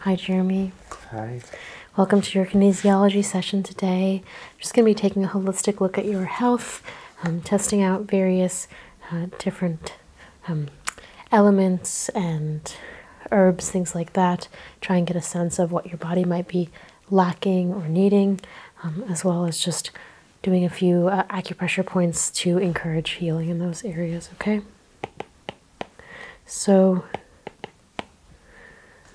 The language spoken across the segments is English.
Hi, Jeremy. Hi. Welcome to your kinesiology session today. I'm just going to be taking a holistic look at your health, um, testing out various uh, different um, elements and herbs, things like that. Try and get a sense of what your body might be lacking or needing, um, as well as just doing a few uh, acupressure points to encourage healing in those areas, okay? So,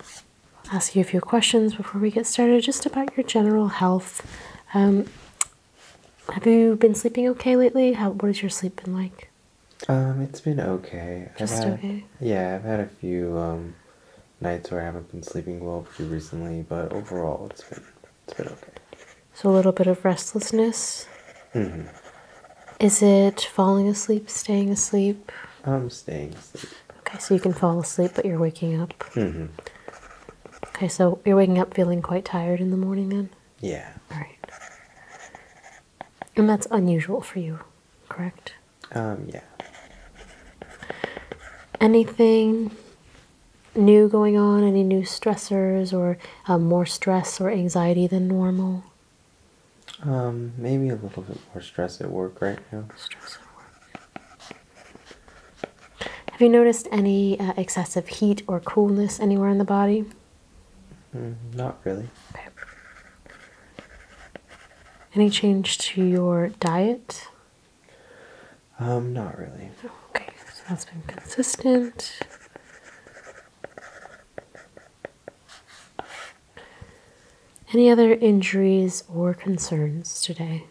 I'll ask you a few questions before we get started just about your general health. Um, have you been sleeping okay lately? How, what has your sleep been like? Um, it's been okay. Just okay? Yeah, I've had a few um, nights where I haven't been sleeping well pretty recently, but overall it's been it's been okay. So a little bit of restlessness. Mm-hmm. Is it falling asleep, staying asleep? I'm staying Okay, so you can fall asleep, but you're waking up. Mm-hmm. Okay, so you're waking up feeling quite tired in the morning then? Yeah. All right. And that's unusual for you, correct? Um, yeah. Anything new going on? Any new stressors or um, more stress or anxiety than normal? Um, maybe a little bit more stress at work right now. Stress at work. Have you noticed any uh, excessive heat or coolness anywhere in the body? Mm, not really. Okay. Any change to your diet? Um, not really. Okay, so that's been consistent. Any other injuries or concerns today?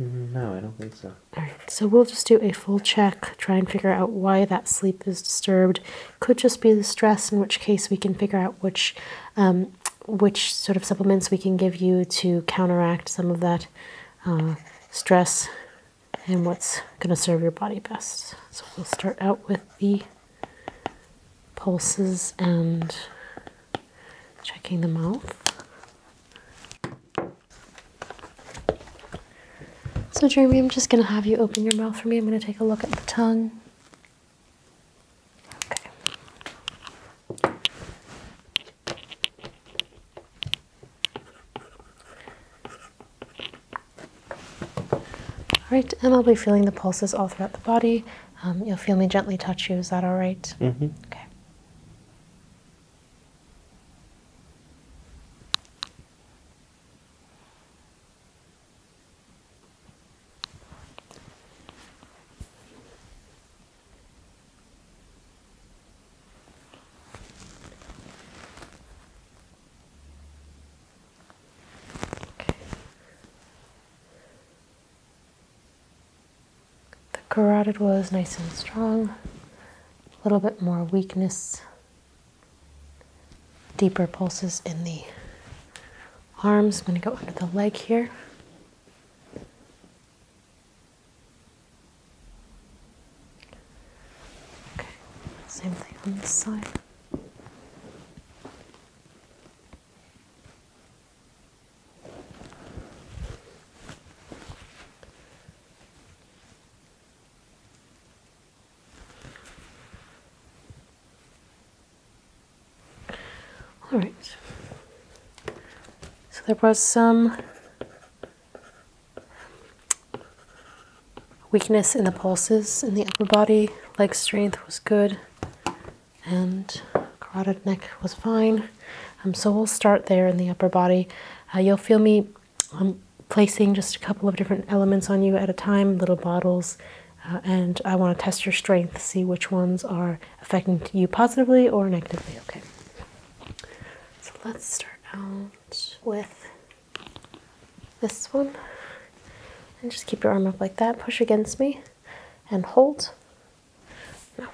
Mm, no, I don't think so. All right, so we'll just do a full check, try and figure out why that sleep is disturbed. Could just be the stress, in which case we can figure out which, um, which sort of supplements we can give you to counteract some of that uh, stress and what's going to serve your body best. So we'll start out with the pulses and checking the mouth. So, Jeremy, I'm just going to have you open your mouth for me. I'm going to take a look at the tongue. Okay. All right, and I'll be feeling the pulses all throughout the body. Um, you'll feel me gently touch you. Is that all mm-hmm. Okay. The carotid was nice and strong, a little bit more weakness, deeper pulses in the arms. I'm going to go under the leg here. Okay, same thing on this side. All right. So there was some weakness in the pulses in the upper body, leg strength was good, and carotid neck was fine. Um, so we'll start there in the upper body. Uh, you'll feel me um, placing just a couple of different elements on you at a time, little bottles, uh, and I want to test your strength, see which ones are affecting you positively or negatively. Okay. So let's start out with this one. And just keep your arm up like that. Push against me and hold. No.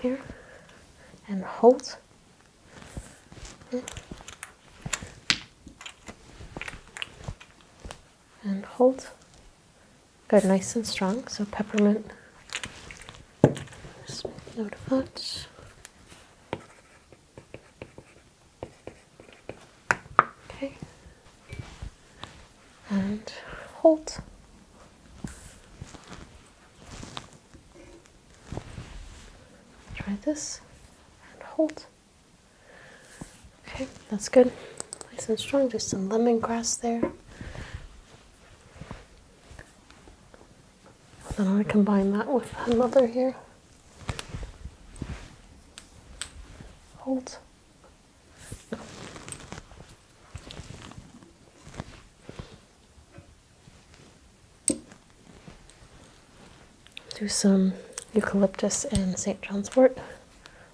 Here. And hold and hold. Good, nice and strong. So peppermint. Just note that. Okay. And hold. Try this and hold. Okay, that's good. Nice and strong. Just some lemongrass there. Then I combine that with another here. Hold. Do some eucalyptus and St. John's wort.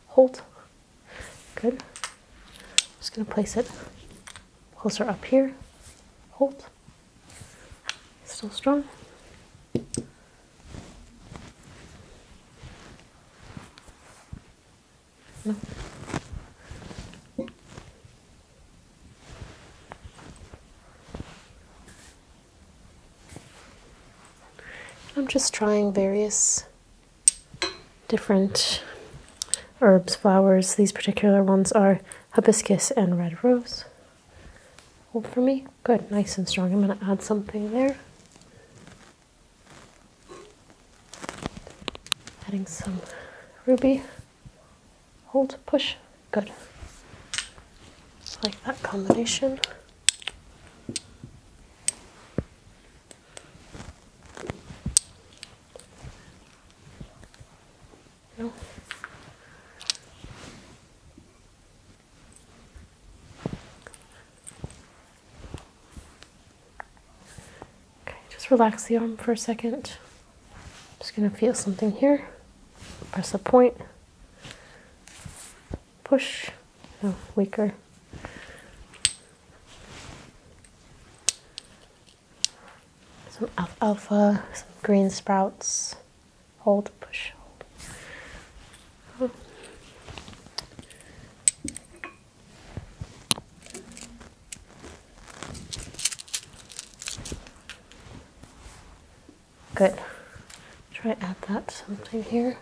Hold. Good. Just going to place it closer up here. Hold. Still strong. No. I'm just trying various different herbs, flowers. These particular ones are hibiscus and red rose. Hold for me. Good, nice and strong. I'm going to add something there. Adding some ruby. Hold, push. Good. like that combination. Okay, just relax the arm for a 2nd just going to feel something here. Press the point. Push. No, weaker. Some alpha, some green sprouts. Hold, push, hold. Good. Try add that something here.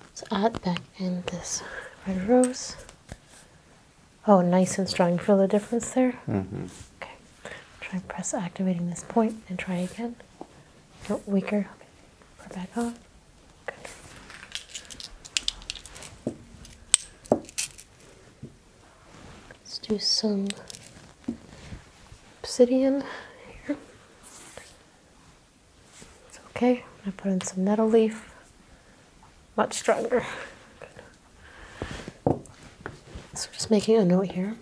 Let's add back in this red rose. Oh, nice and strong. Feel the difference there? Mm-hmm. Okay. Try and press activating this point and try again. No, weaker. Okay. Put back on. Good. Let's do some obsidian here. It's okay. I'm going to put in some nettle leaf. Much stronger. Good. So just making a note here.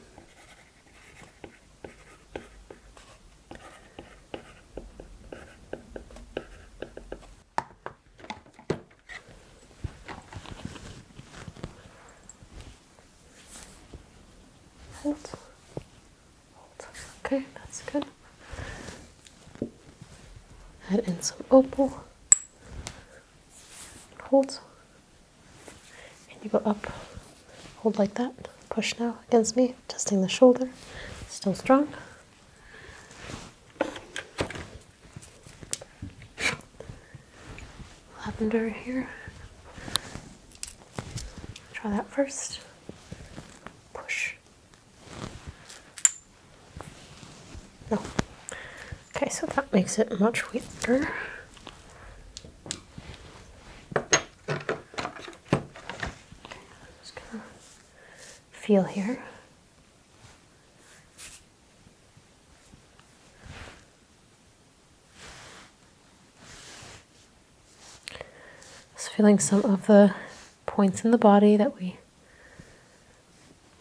Hold. Hold. Okay, that's good. Add in some opal. Hold. And you go up. Hold like that. Push now against me, testing the shoulder. Still strong. Lavender here. Try that first. Push. No. Okay, so that makes it much weaker. just gonna feel here. Just feeling some of the points in the body that we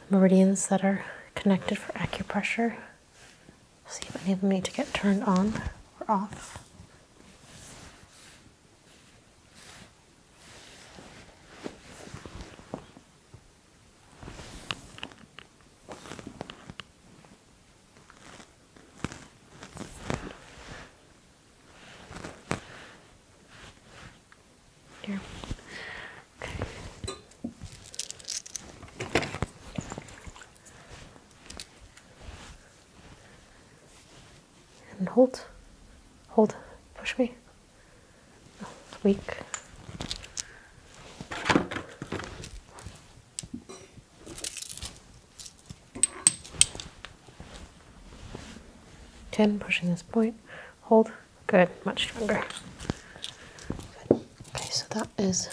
meridians that are connected for acupressure. See if any of them need to get turned on or off. Here. And hold. Hold. Push me. weak. 10 pushing this point hold good much stronger good. okay so that is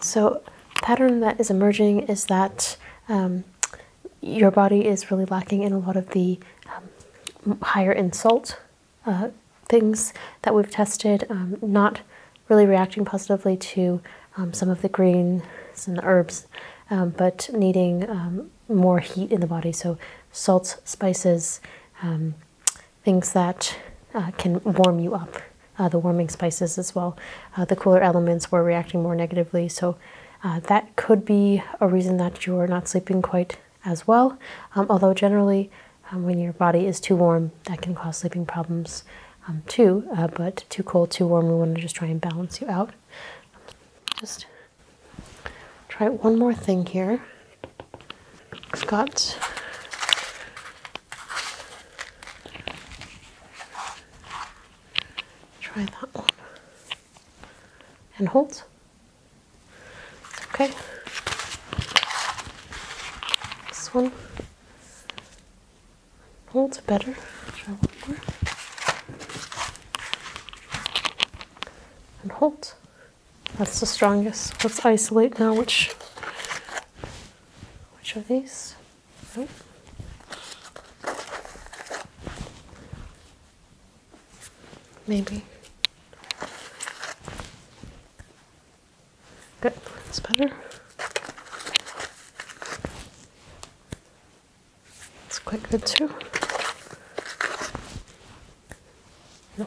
so pattern that is emerging is that um, your body is really lacking in a lot of the um, higher insult uh, things that we've tested, um, not really reacting positively to um, some of the greens and the herbs, um, but needing more heat in the body. So salts, spices, things that uh, can warm you up. Uh, the warming spices as well. the cooler elements were reacting more negatively. So that could be a reason that you're not sleeping quite as well. Um, although generally, um, when your body is too warm, that can cause sleeping problems um, too. Uh, but too cold, too warm, we want to just try and balance you out. Just try one more thing here. Scott. try that one and hold. Okay. This one holds better. Try one more. And hold. That's the strongest. Let's isolate now which which are these. Right. Maybe. Good, It's better. It's quite good too. No.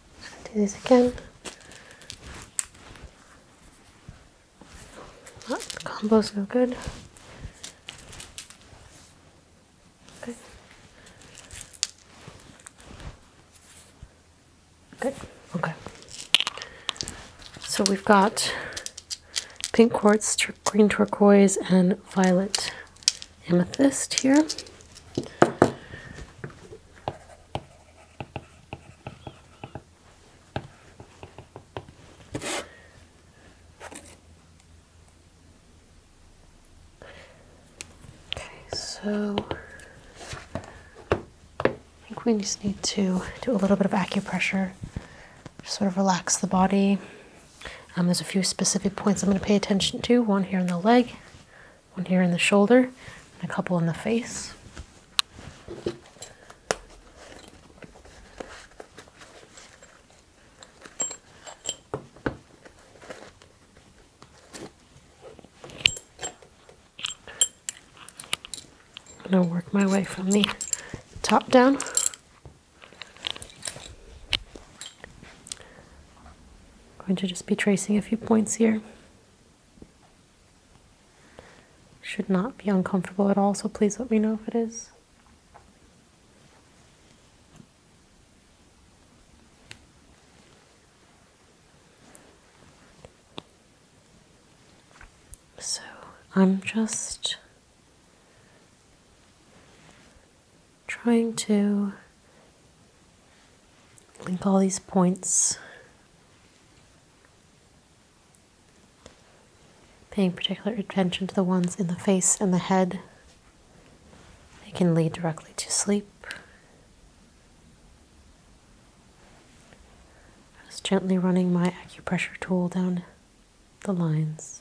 do this again. Oh, combo's no good. Good. Good. Okay. So we've got pink quartz, green turquoise, and violet amethyst here. Okay, so I think we just need to do a little bit of acupressure, sort of relax the body. Um, there's a few specific points I'm going to pay attention to. One here in the leg, one here in the shoulder, and a couple in the face. I'm going to work my way from the top down. going to just be tracing a few points here. Should not be uncomfortable at all, so please let me know if it is. So I'm just trying to Link all these points. Paying particular attention to the ones in the face and the head. They can lead directly to sleep. I was gently running my acupressure tool down the lines.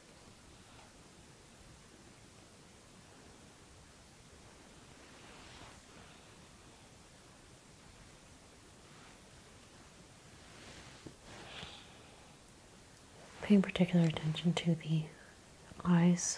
Paying particular attention to the eyes.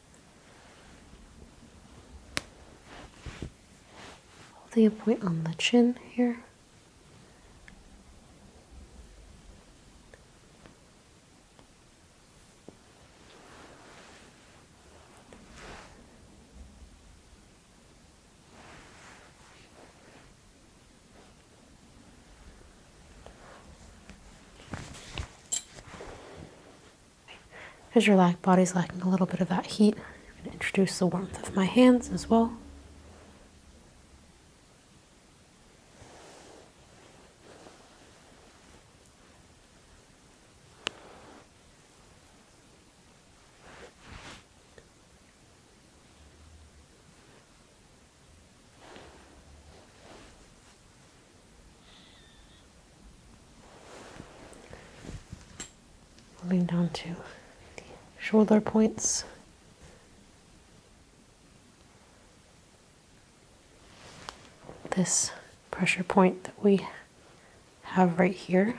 Holding a point on the chin here. Because your body's lacking a little bit of that heat, I'm going to introduce the warmth of my hands as well. Moving down to the shoulder points. This pressure point that we have right here.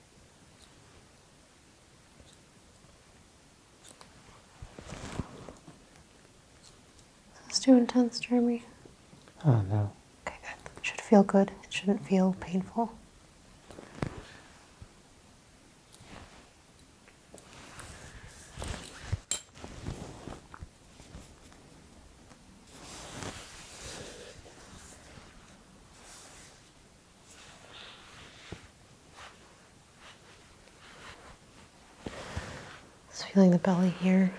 Is this too intense, Jeremy? Oh, no. Okay, good. should feel good. It shouldn't feel painful. Just feeling the belly here.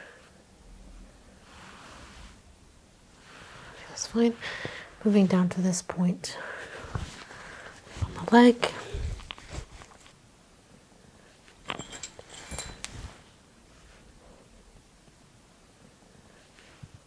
That's fine. Moving down to this point on the leg.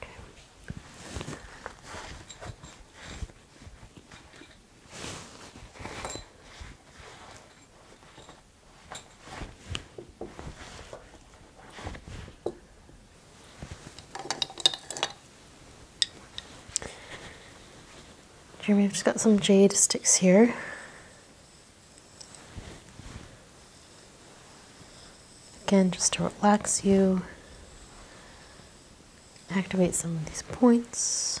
Okay. Jeremy, I've just got some jade sticks here. Again, just to relax you, activate some of these points.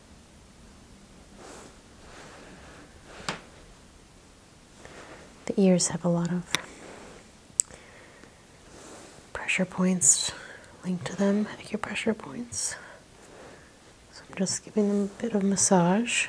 The ears have a lot of pressure points linked to them, acupressure points. So I'm just giving them a bit of massage.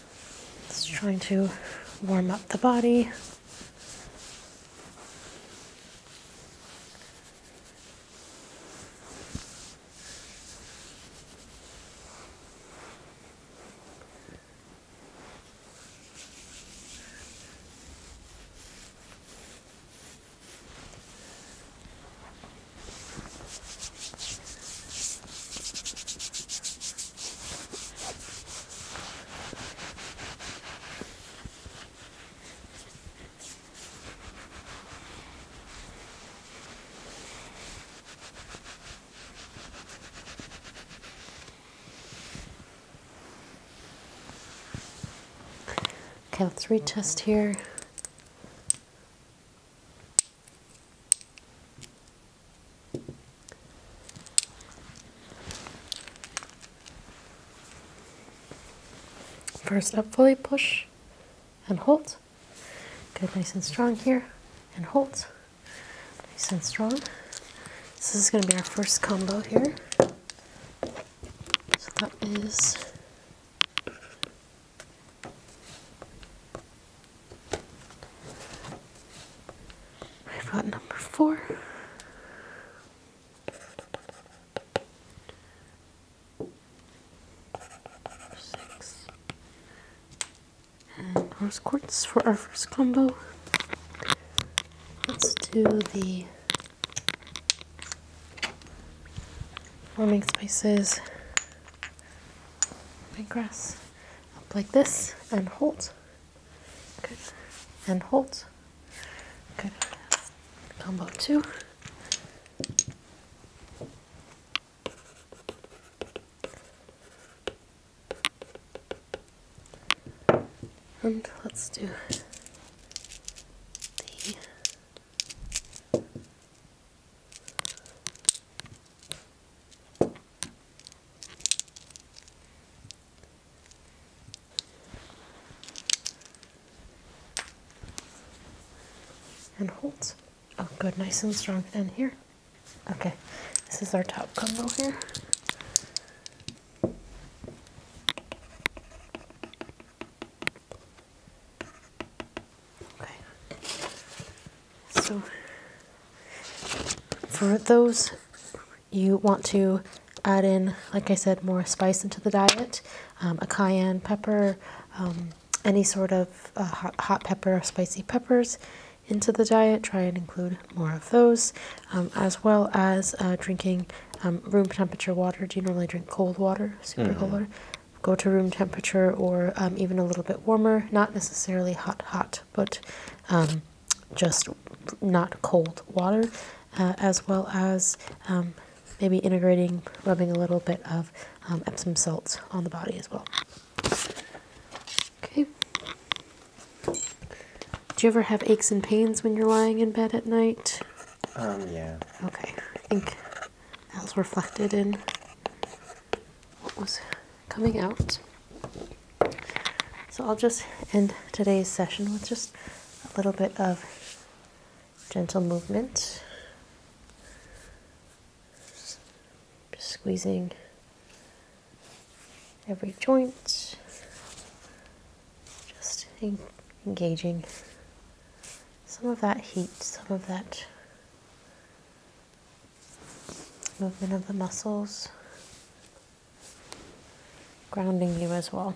It's trying to warm up the body. Okay, let's retest here. First up, fully push and hold. Good, nice and strong here, and hold. Nice and strong. this is going to be our first combo here. So that is I've got number four. Six. And rose quartz for our first combo. Let's do the warming spices, big grass, up like this, and hold. Good. And hold. Good. Combo two. And let's do the and holds. Oh, good, nice and strong then here. Okay, this is our top combo here. Okay. So for those you want to add in, like I said, more spice into the diet, um, a cayenne pepper, um, any sort of uh, hot, hot, pepper or spicy peppers into the diet, try and include more of those, um, as well as uh, drinking room temperature water. Do you normally drink cold water, super mm-hmm. cold water? Go to room temperature or even a little bit warmer, not necessarily hot, hot, but just not cold water, uh, as well as um, maybe integrating, rubbing a little bit of um, Epsom salts on the body as well. Okay. Do you ever have aches and pains when you're lying in bed at night? Um, yeah. Okay. I think that was reflected in what was coming out. So I'll just end today's session with just a little bit of gentle movement. Just squeezing every joint, just engaging some of that heat, some of that movement of the muscles, grounding you as well.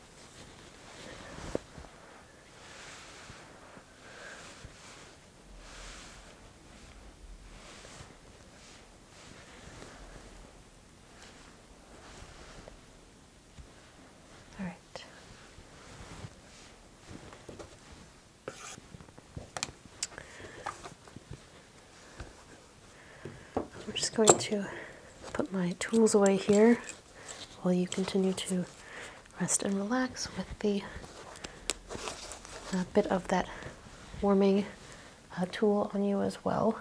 All right. I'm just going to put my tools away here while you continue to rest and relax with the uh, bit of that warming uh, tool on you as well.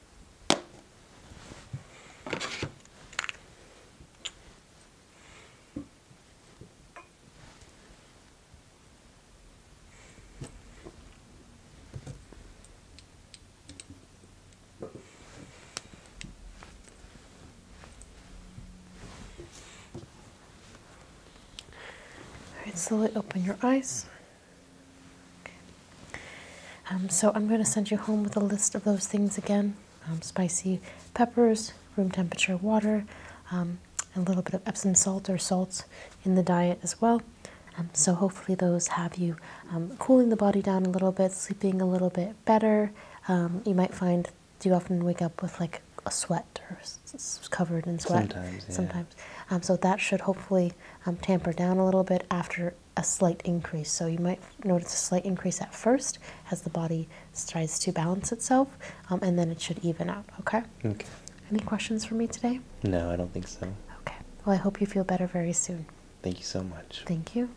All right, slowly open your eyes. Um, so I'm going to send you home with a list of those things again um, spicy peppers, room temperature water, um, a little bit of Epsom salt or salts in the diet as well. so hopefully those have you cooling the body down a little bit, sleeping a little bit better. you might find do you often wake up with like a sweat or covered in sweat sometimes, sometimes. so that should hopefully tamper down a little bit after a slight increase. So you might notice a slight increase at first as the body tries to balance itself, um, and then it should even out. Okay. Okay. Any questions for me today? No, I don't think so. Okay. Well, I hope you feel better very soon. Thank you so much. Thank you.